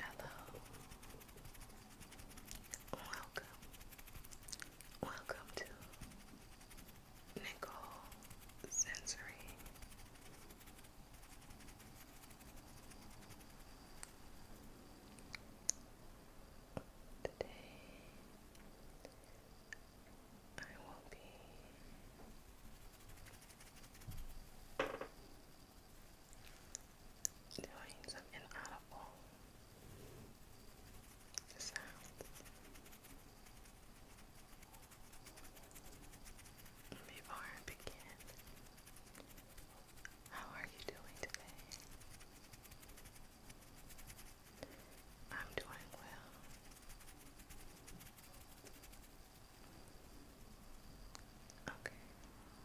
Hello. Welcome. Welcome to Nicole Sensory. Today I will be doing some inaudible sounds. Before I begin, how are you doing today? I'm doing well. Okay.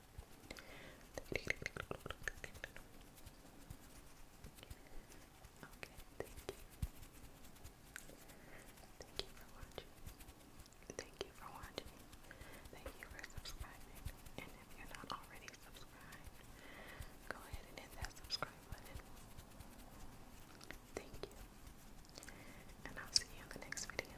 Thank you for watching. Thank you for watching. Thank you for subscribing. And if you're not already subscribed, go ahead and hit that subscribe button. Thank you. And I'll see you in the next video.